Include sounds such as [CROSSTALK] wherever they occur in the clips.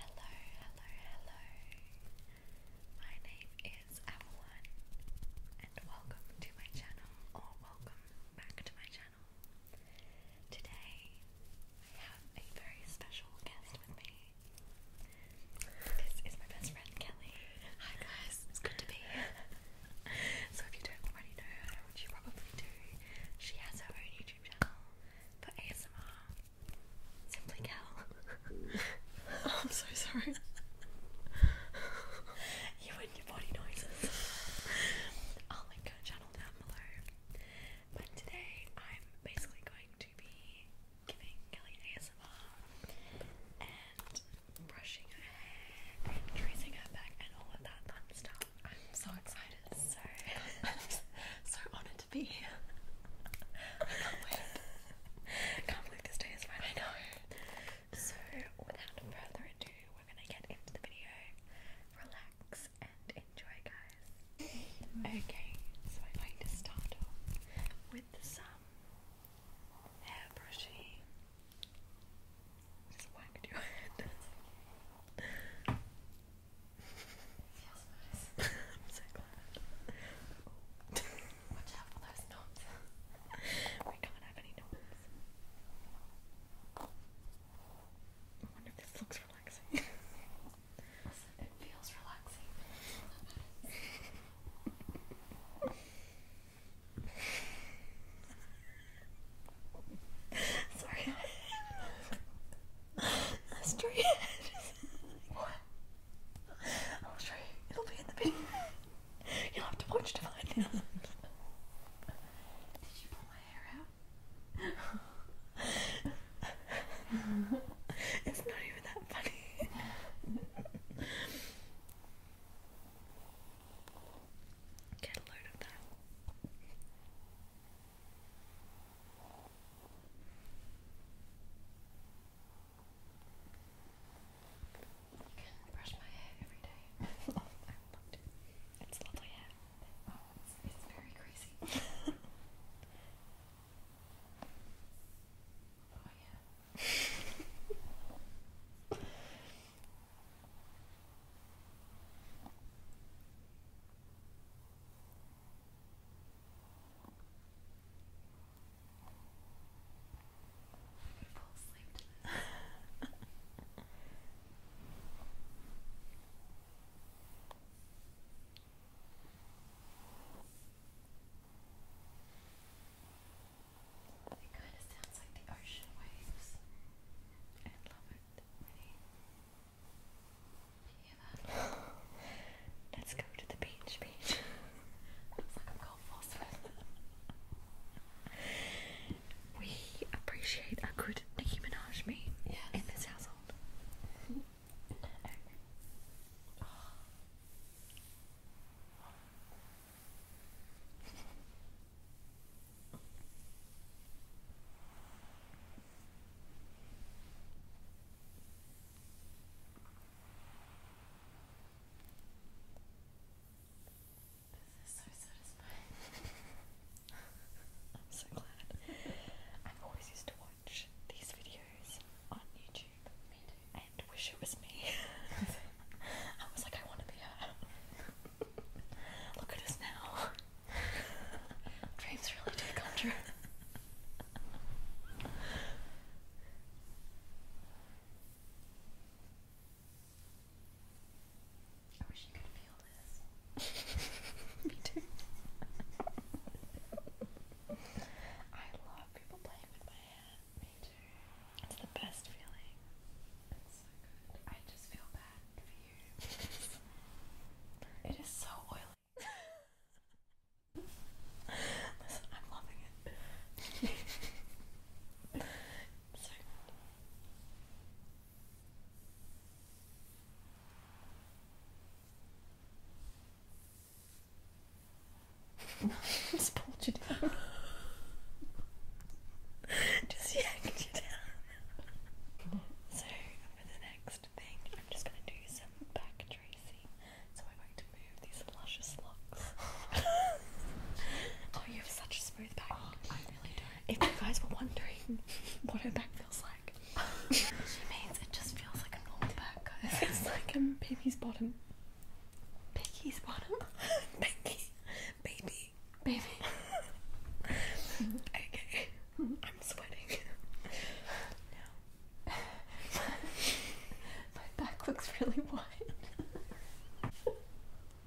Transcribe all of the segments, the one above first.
Hello, hello, hello. My name is Avalon, and welcome to my channel, or welcome back to my channel. Today, I have a very special guest with me. This is my best friend Kelly. Hi guys, it's good to be here. [LAUGHS] so if you don't already know which you probably do, she has her own YouTube channel for ASMR. Simply Cal. [LAUGHS] Oh, I'm so sorry. [LAUGHS] you and your body noises. [LAUGHS] I'll link her channel down below. But today I'm basically going to be giving Kelly ASMR and brushing her hair tracing her back and all of that fun stuff. I'm so excited artist, so so honored to be here. can't wait. Can't believe this day is finally. I know. So without further ado, we're gonna get into the video. Relax and enjoy, guys. Okay, so I'm going to start off with some hair brushing. Just whack your head. [LAUGHS] I'm so glad. Watch out for those knobs. we can't have any knobs. I wonder if this looks [LAUGHS] relaxing. it feels relaxing. [LAUGHS] Sorry. Straight ahead. [LAUGHS] what? I'll show you. It'll be in the video. You'll have to watch to find out. Did you pull my hair out? [LAUGHS] it's not even that funny. [LAUGHS] Get a load of that brush my hair every day. [LAUGHS] I love it. It's lovely hair. Oh, it's, very crazy. [LAUGHS] oh yeah. [LAUGHS] Full sleep to this. It kind of sounds like the ocean waves. I love it. Let's go to the beach, beach. Looks like I'm going full swim. We appreciate a good Nicki Minaj meme in this household. This is so satisfying. [LAUGHS] I'm so glad. i always used to watch these videos on YouTube. And wish it was me. [LAUGHS] I was like, I want to be her. [LAUGHS] Look at us now. Dreams really do come true. I wish you could feel this. [LAUGHS] Me too. I love people playing with my hair. Me too. It's the best feeling. It's so good. I just feel bad for you. [LAUGHS] it is so oily. Listen, I'm loving it. [LAUGHS] so. Just pulled you down. [LAUGHS] Just yanked you down. so for the next thing, I'm just going to do some back tracing. So I'm going to move these luscious locks. [LAUGHS] oh, you have such smooth back. Oh, I really do. If you guys were wondering what her back feels like, [LAUGHS] she means it just feels like a normal back, It's like um, baby's bottom. Piggy's bottom. Piggy. [LAUGHS] Baby. Baby. okay. I'm sweating. [LAUGHS] no. [LAUGHS] My back looks really wide.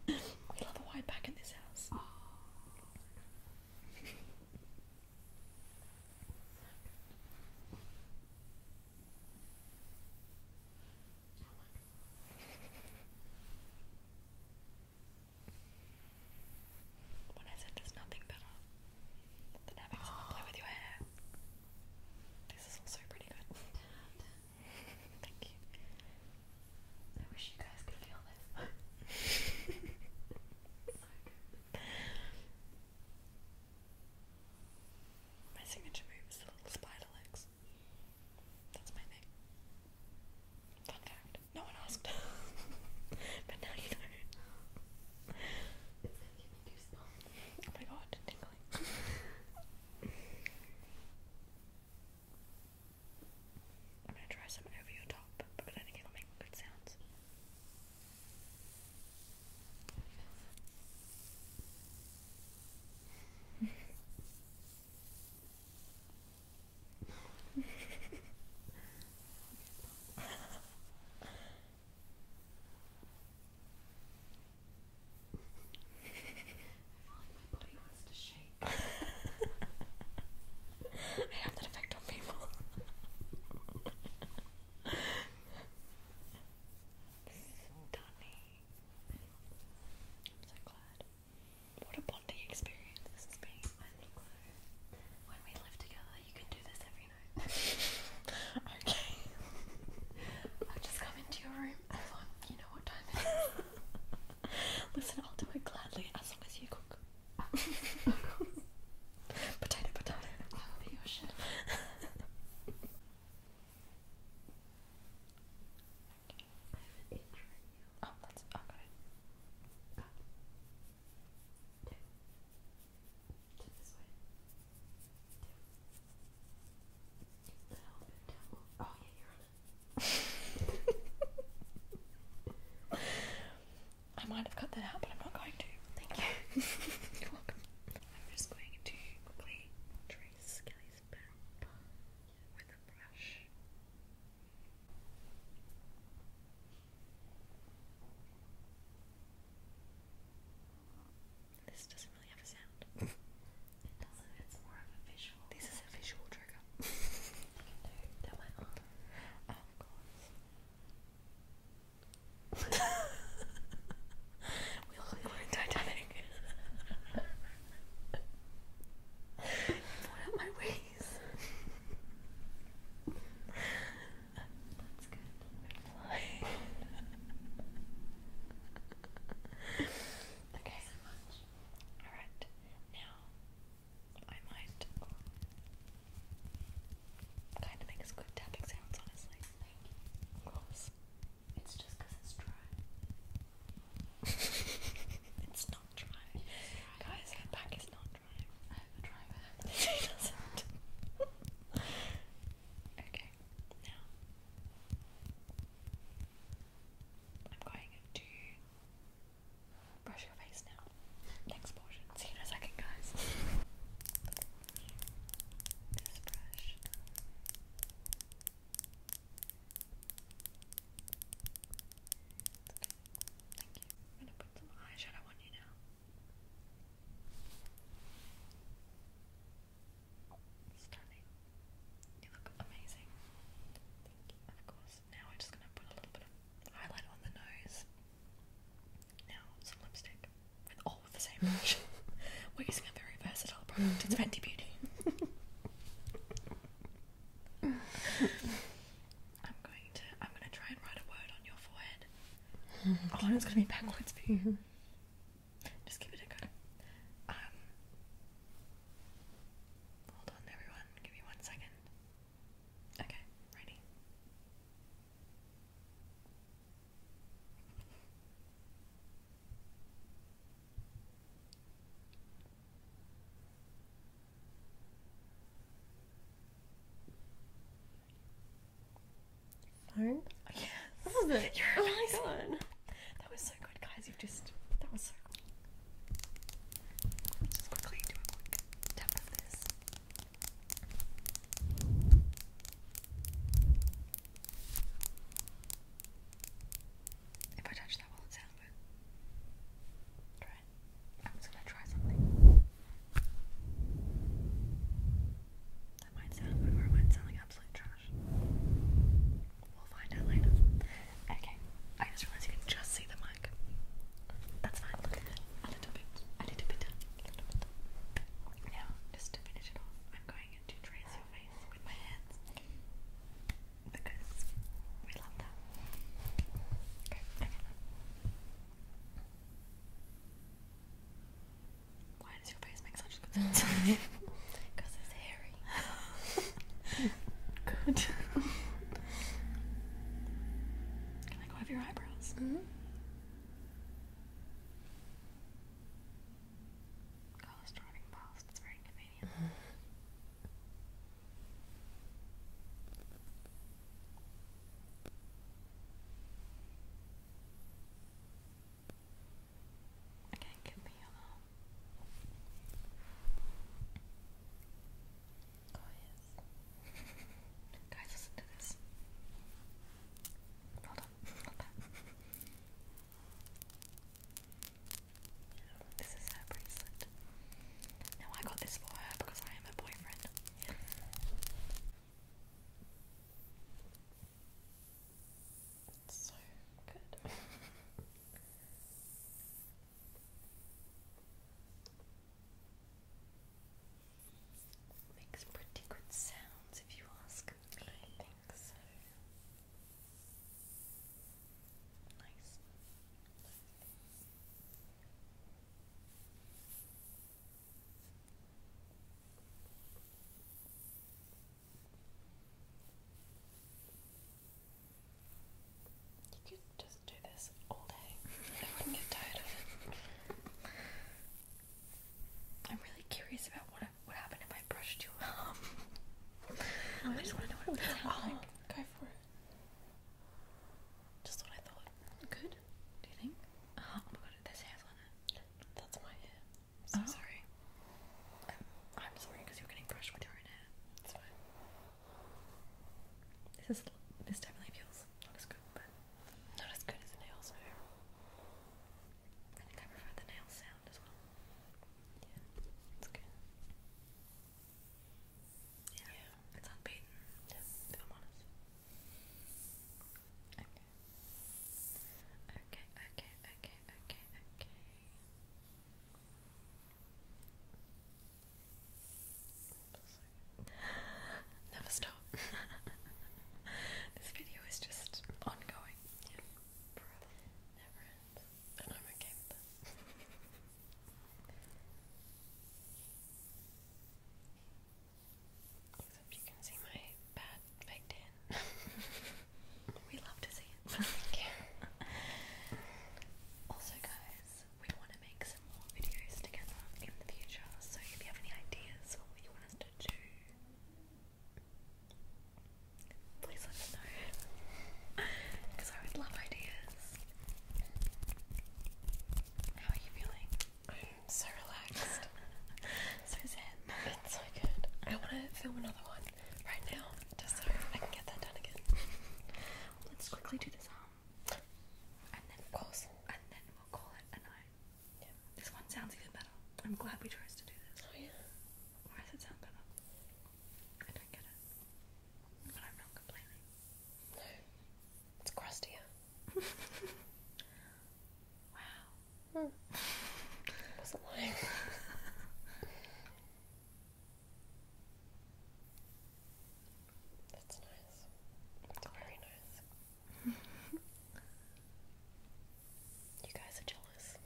we love a wide back in this house. When I said there's nothing better than having someone play with your hair. This is also pretty good. [LAUGHS] Thank you. I wish you guys could feel this. [LAUGHS] My signature move is the little spider legs. That's my thing. Fun fact. No one asked. [LAUGHS] but now you know. Oh my god, tingling. I'm gonna try some over your top because I think it'll make good sounds. [LAUGHS] my body wants to shake. I have that effect on people. Stunning. i so glad. What a bonding experience is being When we live together, you can do this every night. [LAUGHS] okay. I'll just come into your room as long you know what time it is. [LAUGHS] Listen, I'll do it gladly as long as you cook. [LAUGHS] Potato, potato. I will be your chef. Oh, that's okay. Oh yeah, you're on I might have cut that out, but I'm not going to. Thank you. [LAUGHS] you're welcome. I'm just going to quickly trace Kelly's back with a brush. This doesn't really have a sound. [LAUGHS] it doesn't, it's more of a visual. This is a visual trigger. [LAUGHS] Oh, [LAUGHS] we look like we're in Titanic. out my wing okay. All right. Now, I might kind of make good tapping sounds, honestly. Thank you. Of course. It's just it's dry. [LAUGHS] it's not dry. Guys, her back is not I have a driver. she doesn't. okay, now I'm going to brush your face now. Next portion. See you in a second, guys. this brush. I'm gonna put some eyeshadow on you now. Stunning. You look amazing. Thank you. of course, now we're just gonna put a little bit of highlight on the nose. Now, some lipstick. all with the same brush. we're using a very versatile product. It's Fenty Beauty. I'm going to. I'm going to try and write a word on your forehead. [LAUGHS] Oh, it's going to be backwards for you. Just give it a go. Um. Hold on, everyone. Give me one second. Okay, ready. Oh, yes. Oh my God. That was so good, guys. You've just. That was so cool. Let's just quickly If I touch that, will it sound good? i was gonna try something. That might sound good might sound like absolute trash. We'll find out later. Okay, I just realised you can just see the mic. That's fine, A little bit, a little bit down, Now, just to finish it off, I'm going to trace your face with my hands. Because we love that. Okay, Why does your face make such good sound? [LAUGHS] Because it's hairy. [LAUGHS] good. Can I go your eyebrows? Mm -hmm. driving past, it's very inconvenient. Mm-hmm. Okay, could be yellow. Oh yes. Guys, listen to this. Hold on, not that. This is her bracelet. No, I got this for her because I am her boyfriend. It's so good. Makes pretty good sounds if you ask I think so. nice. You could just do this all day. I wouldn't get tired of it. I'm really curious about what would happen if I brushed you I just want to know what would oh, sound Go for it. Just what I thought. Good. Do you think? Uh-huh. Oh, my god, there's hairs on it. That's my hair. am oh. sorry. I'm, sorry because you're getting brushed with your hair. This is this definitely feels not as good, but not as good as the nails. I think I prefer the nail sound as well. Yeah, it's good. Yeah, it's unbeaten, Okay. Okay, okay, okay, okay, okay. Never stop. [LAUGHS] this video is just ongoing. Yeah. Never ends. And I'm okay with Except you can see my bad baked [LAUGHS] we love to see it. [LAUGHS] also, guys, we want to make some more videos together in the future. So if you have any ideas for what you want us to do, please let us know. Because I would love ideas. How are you feeling? I'm so relaxed. [LAUGHS] so zen. so good. I want to film another one right now, just so I can get that done again. [LAUGHS] Let's quickly do this arm. Um, and then, of And then we'll call it a night. This one sounds even better. I'm glad we chose to do this. Oh, yeah. Why does it sound better? I don't get it. But I'm not complaining. No, it's crustier. [LAUGHS] wow. I hmm. [LAUGHS] wasn't lying. That's nice. That's very nice. [LAUGHS] you guys are jealous.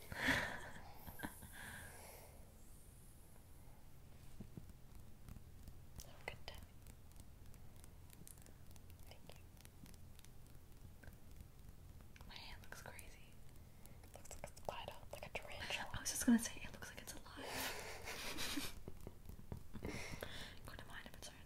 My hand looks crazy. looks like it's tied like a tarantula. I was just gonna say it looks like it's alive. Go to mine if it's hard.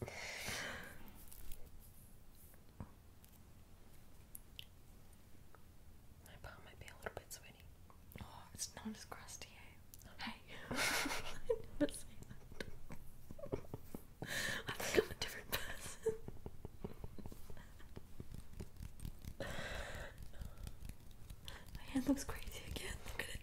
My palm might be a little bit sweaty. Oh, it's not as crusty, eh? Hey, [LAUGHS] [LAUGHS] I'm a different person. My hand looks crazy again. Look at it.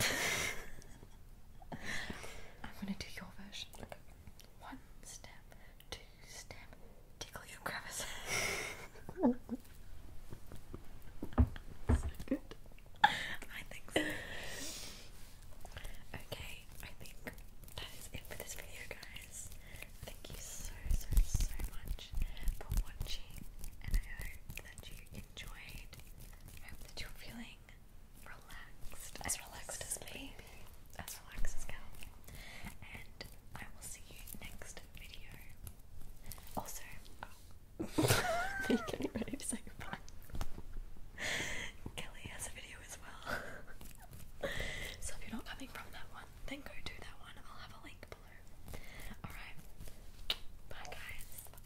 I'm gonna do your version. Okay. One step, two step, tickle your crevice. [LAUGHS] so good. I think Okay, I think that is it for this video, guys. Thank you so, so, so much for watching, and I hope that you enjoyed. I hope that you're feeling as relaxed as me, as relaxed as Cal. And I will see you next video. Also, [LAUGHS] oh. ready to say goodbye? Kelly has a video as well. so if you're not coming from that one, then go do that one. I'll have a link below. Alright. Bye guys.